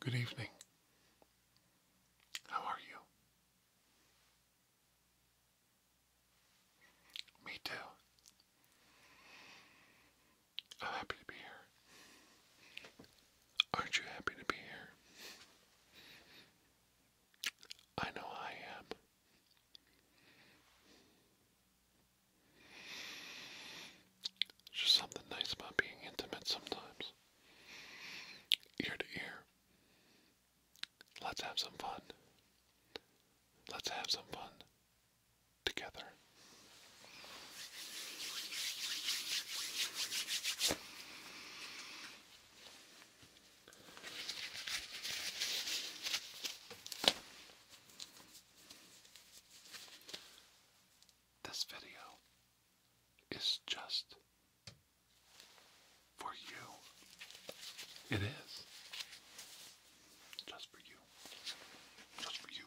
Good evening. How are you? Me too. I'm happy to be here. Aren't you happy to be here? I know I am. There's just something nice about being intimate sometimes. Ear to ear. Let's have some fun. Let's have some fun together. This video is just for you. It is just for you. Just for you.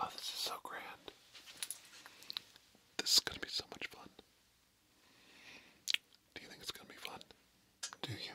Oh, this is so grand. This is going to be so much fun. Do you think it's going to be fun? Do you?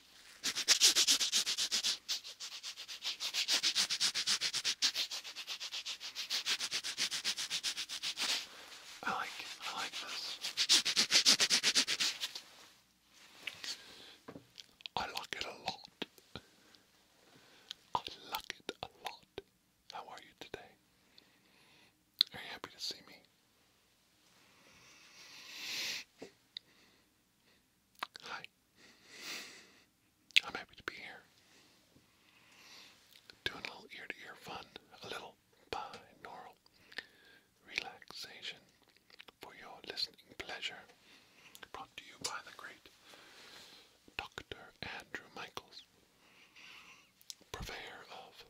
I like I like this. I like it a lot. I like it a lot. How are you today? Are you happy to see me? Hi. I'm happy to be here. Doing a little ear to ear fun, a little binaural relaxation for your listening pleasure. Brought to you by the great Dr. Andrew Michaels, purveyor of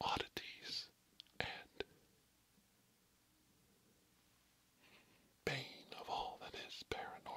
oddities and pain of all that is paranormal.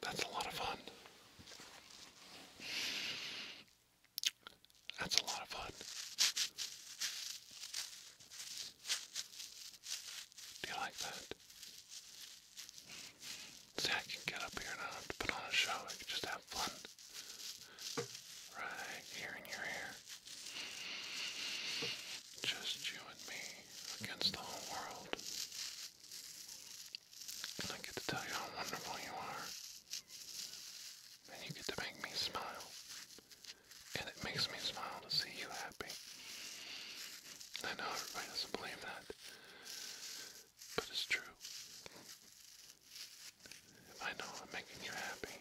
That's a lot of fun. That's a lot of fun. Do you like that? See, I can get up here and I don't have to put on a show. I can just have fun. Right here in your ear. Just you and me against the whole world. And I get to tell you how wonderful you are. And you get to make me smile and it makes me smile to see you happy. I know everybody doesn't believe that, but it's true. If I know I'm making you happy,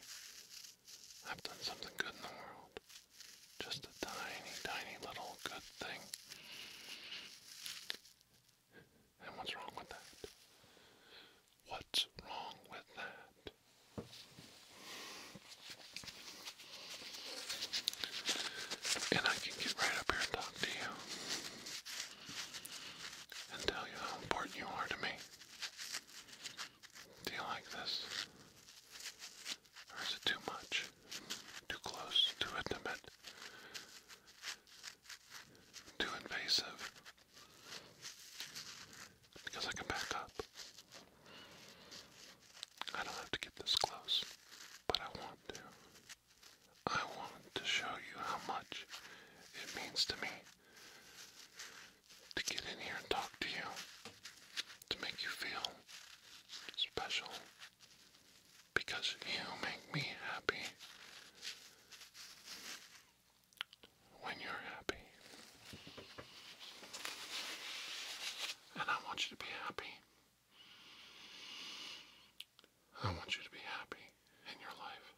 I've done something good in the world. Just a tiny, tiny little good thing. And what's wrong with that? What's wrong with that? And I can get right up here and talk to you and tell you how important you are to me. Do you like this? Or is it too much? Too close? Too intimate? Too invasive? Because I can back up. I don't have to get this close, but I want to. I want to show you how much it means to me to get in here and talk to you, to make you feel special, because you make me happy when you're happy and I want you to be happy. I want you to be happy in your life.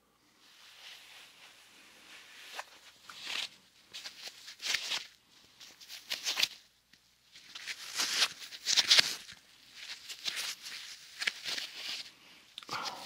Oh.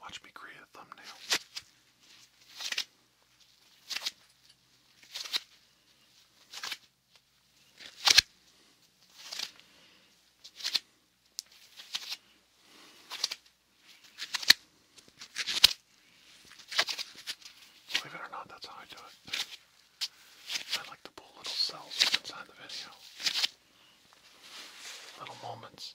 Watch me create a thumbnail. Believe it or not, that's how I do it. I like to pull little cells inside the video, little moments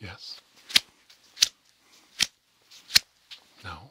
Yes. No.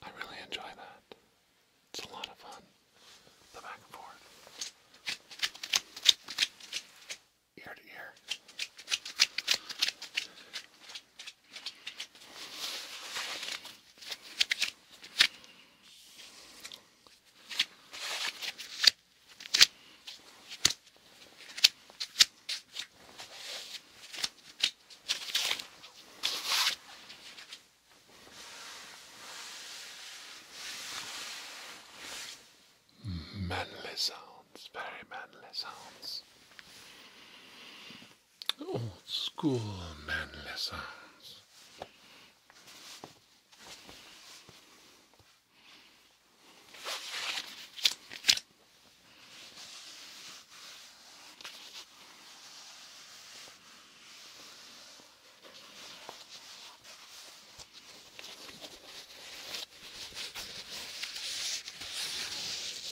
I really enjoy that. It's a lot of fun. The back and forth. Ear to ear. Manly sounds, very manly sounds old school manly sounds.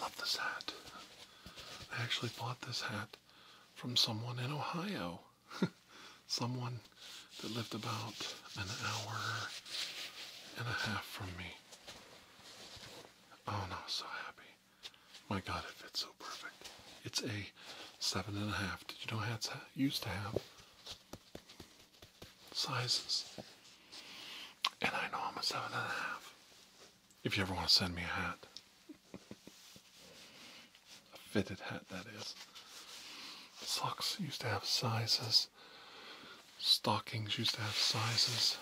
Love this hat. I actually bought this hat from someone in Ohio. someone that lived about an hour and a half from me. Oh no, so happy. My god, it fits so perfect. It's a seven and a half. Did you know hats used to have sizes? And I know I'm a seven and a half. If you ever want to send me a hat, a fitted hat that is. Socks used to have sizes Stockings used to have sizes.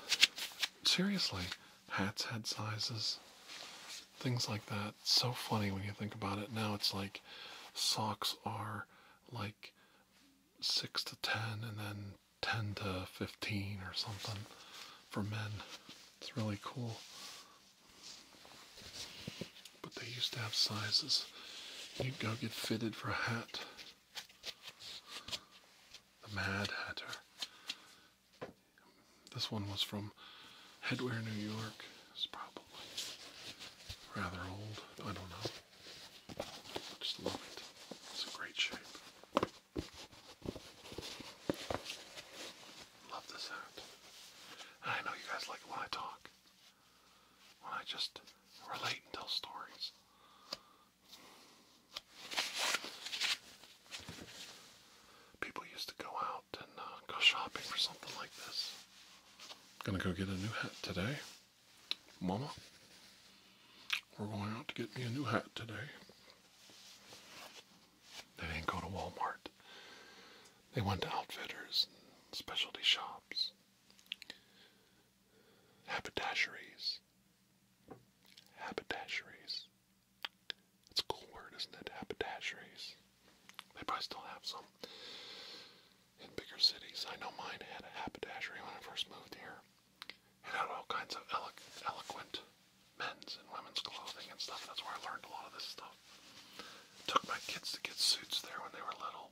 Seriously, hats had sizes. Things like that. so funny when you think about it. Now it's like socks are like 6 to 10 and then 10 to 15 or something for men. It's really cool but they used to have sizes. You'd go get fitted for a hat. The Mad Hatter. This one was from Headwear, New York. It's probably rather old. I don't know. Just love it. It's a great shape. Love this hat. I know you guys like when I talk. I just relate and tell stories. People used to go out and uh, go shopping for something like this. Gonna go get a new hat today. Mama, we're going out to get me a new hat today. They didn't go to Walmart. They went to outfitters specialty shops. Haberdasheries. Haberdasheries. It's a cool word, isn't it? Haberdasheries. They probably still have some in bigger cities. I know mine had a haberdashery when I first moved here. It had all kinds of elo eloquent men's and women's clothing and stuff. That's where I learned a lot of this stuff. Took my kids to get suits there when they were little.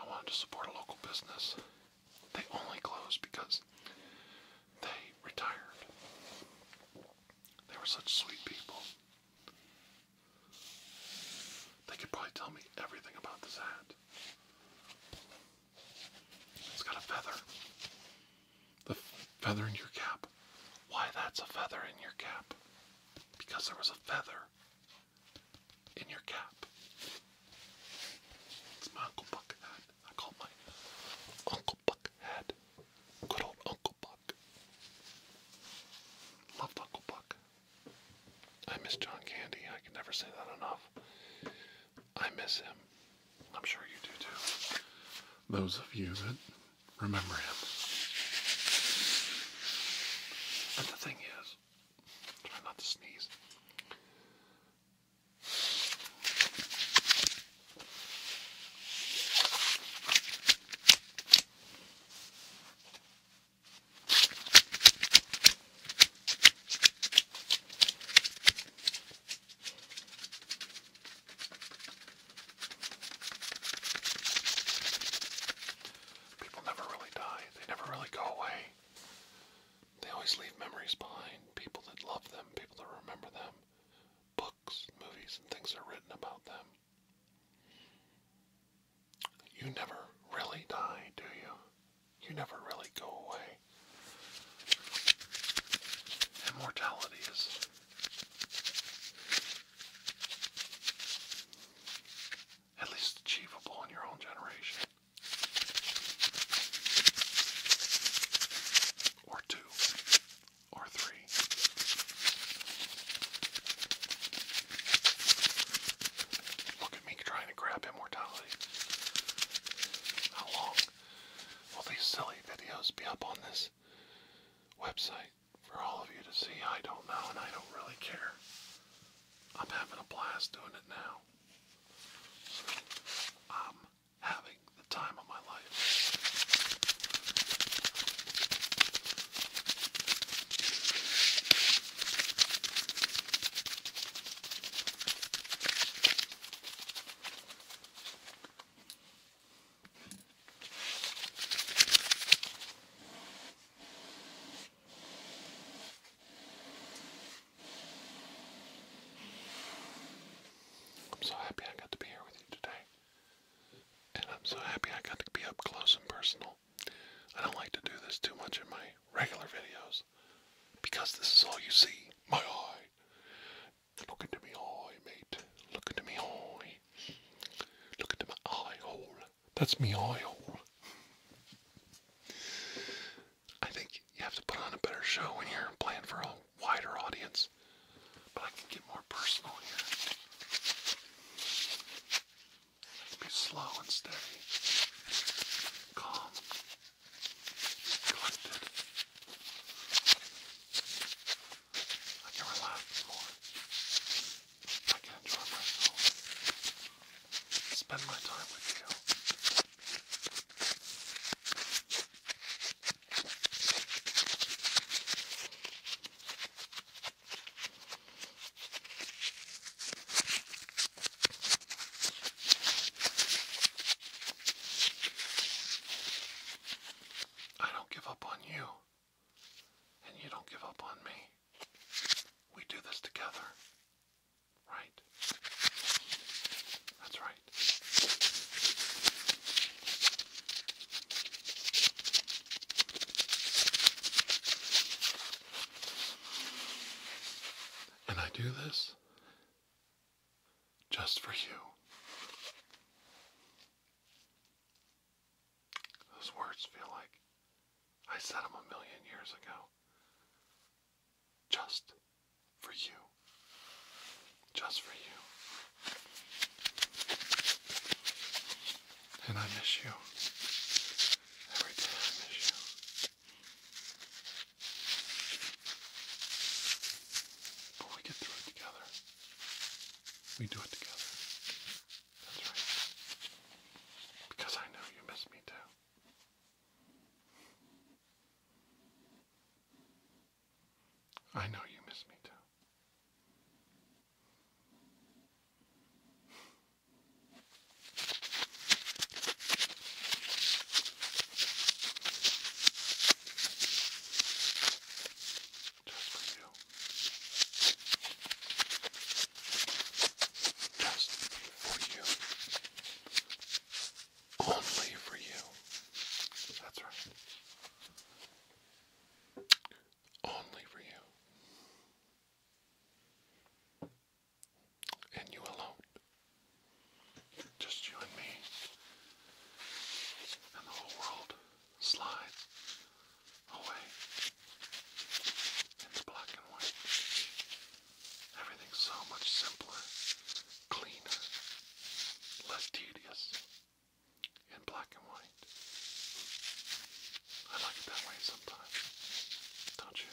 I wanted to support a local business. They only closed because they retired. They were such sweet people. They could probably tell me everything about this hat. It's got a feather. The feather in your cap. Why that's a feather in your cap? Because there was a feather in your cap. It's my Uncle Buck hat. I call my Uncle Buck hat. Good old Uncle Buck. Loved Uncle Buck. I miss John Candy. I can never say that enough. I miss him. I'm sure you do too. Those of you that remember him. But the thing is, try not to sneeze. People never really die, they never really go away. They always leave memories behind people that love them, people that remember them, books, movies, and things are written about them. You never really die, do you? You never really go away. Immortality is at least achievable in your own generation. Or two, or three. Look at me trying to grab immortality. How long will these silly videos be up on this website? for all of you to see. I don't know, and I don't really care. I'm having a blast doing it now. I'm having the time of my life. I'm so happy I got to be here with you today. And I'm so happy I got to be up close and personal. I don't like to do this too much in my regular videos because this is all you see. My eye. Look into me eye, mate. Look into me eye. Look into my eye hole. That's me oil. I think you have to put on a better show when you're playing for a wider audience. But I can get more personal here. be slow and steady. Calm. Collected. I can relax more. I can enjoy myself. Spend my time with you. I don't give up on you and you don't give up on me. We do this together. Right? That's right. And I do this just for you. Those words feel like I said them a million years ago. Just for you. Just for you. And I miss you. Every day I miss you. But we get through it together. We do it together. That's right. Because I know you miss me too. I know you miss me too just for you. Just for you. Only for you. That's right. Only for you. And you alone. Just you and me. And the whole world slides away. It's black and white. Everything's so much simpler, cleaner, less tedious in black and white. I like it that way sometimes, don't you?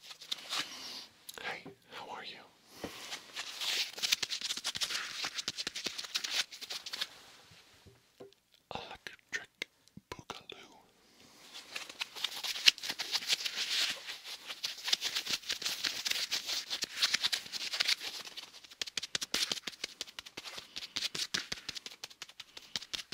Hey, how are you? Electric Boogaloo.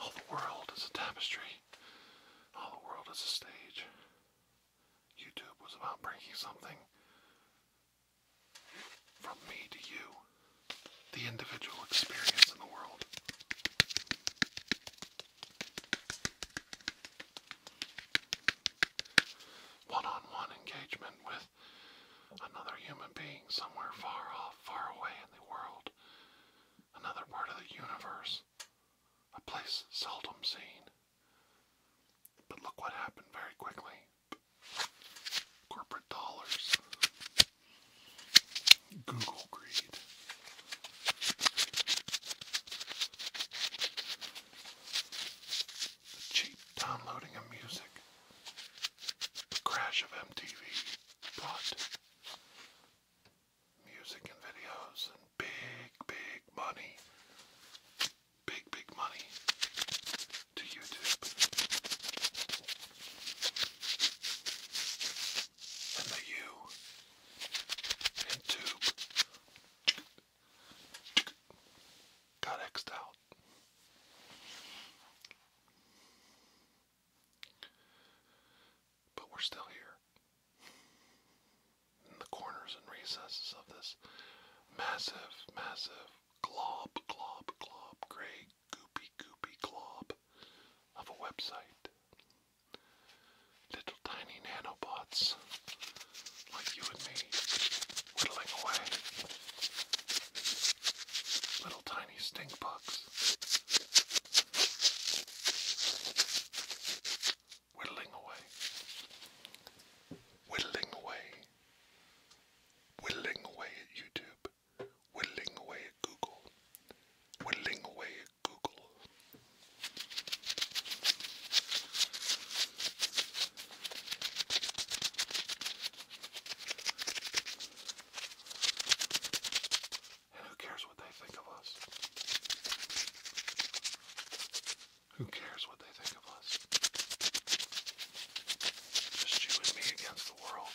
All the world is a tapestry. All the world is a stage. YouTube was about bringing something from me to you, the individual experience in the world. One on one engagement with another human being somewhere far off, far away in the world, another part of the universe, a place seldom seen. But look what happened very quickly. Corporate dollars, Google greed the cheap downloading of music, the crash of MTV brought music and videos and big, big money, big, big money to YouTube. And the U and tube got xed out. But we're still here. In the corners and recesses of this massive, massive glob, glob, glob, gray, goopy, goopy glob of a website. Little tiny nanobots like you and me, whittling away. Little tiny stink bugs. Whittling away. Whittling away. Whittling away at YouTube. Whittling away at Google. Whittling away at Google. Who cares what they think of us? Who cares what they think of us? Just you and me against the world.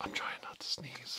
I'm trying not to sneeze.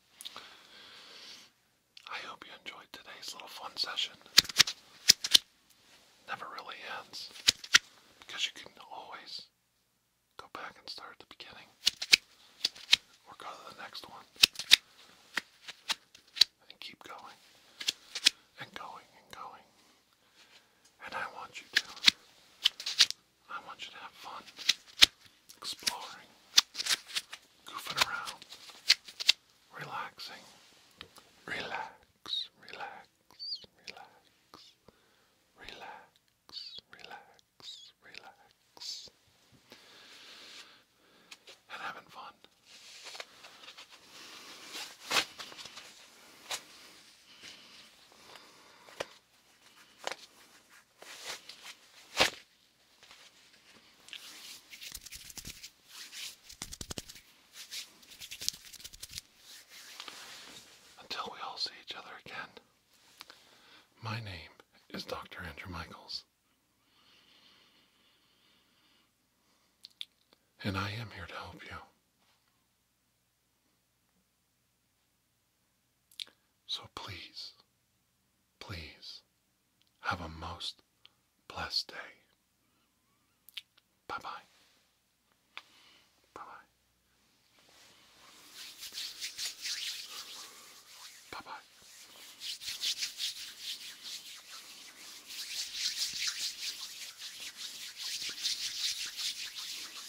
I hope you enjoyed today's little fun session. Never really ends because you can always go back and start the beginning or go to the next one and keep going and going and going. And I want you to. I want you to have fun exploring, goofing around, relaxing. Relax, relax, relax, relax, relax, relax. And having fun. Until we all see each other again, my name is Dr. Andrew Michaels. And I am here to help you. So please, please have a most blessed day. Bye bye. Bye bye. Bye bye.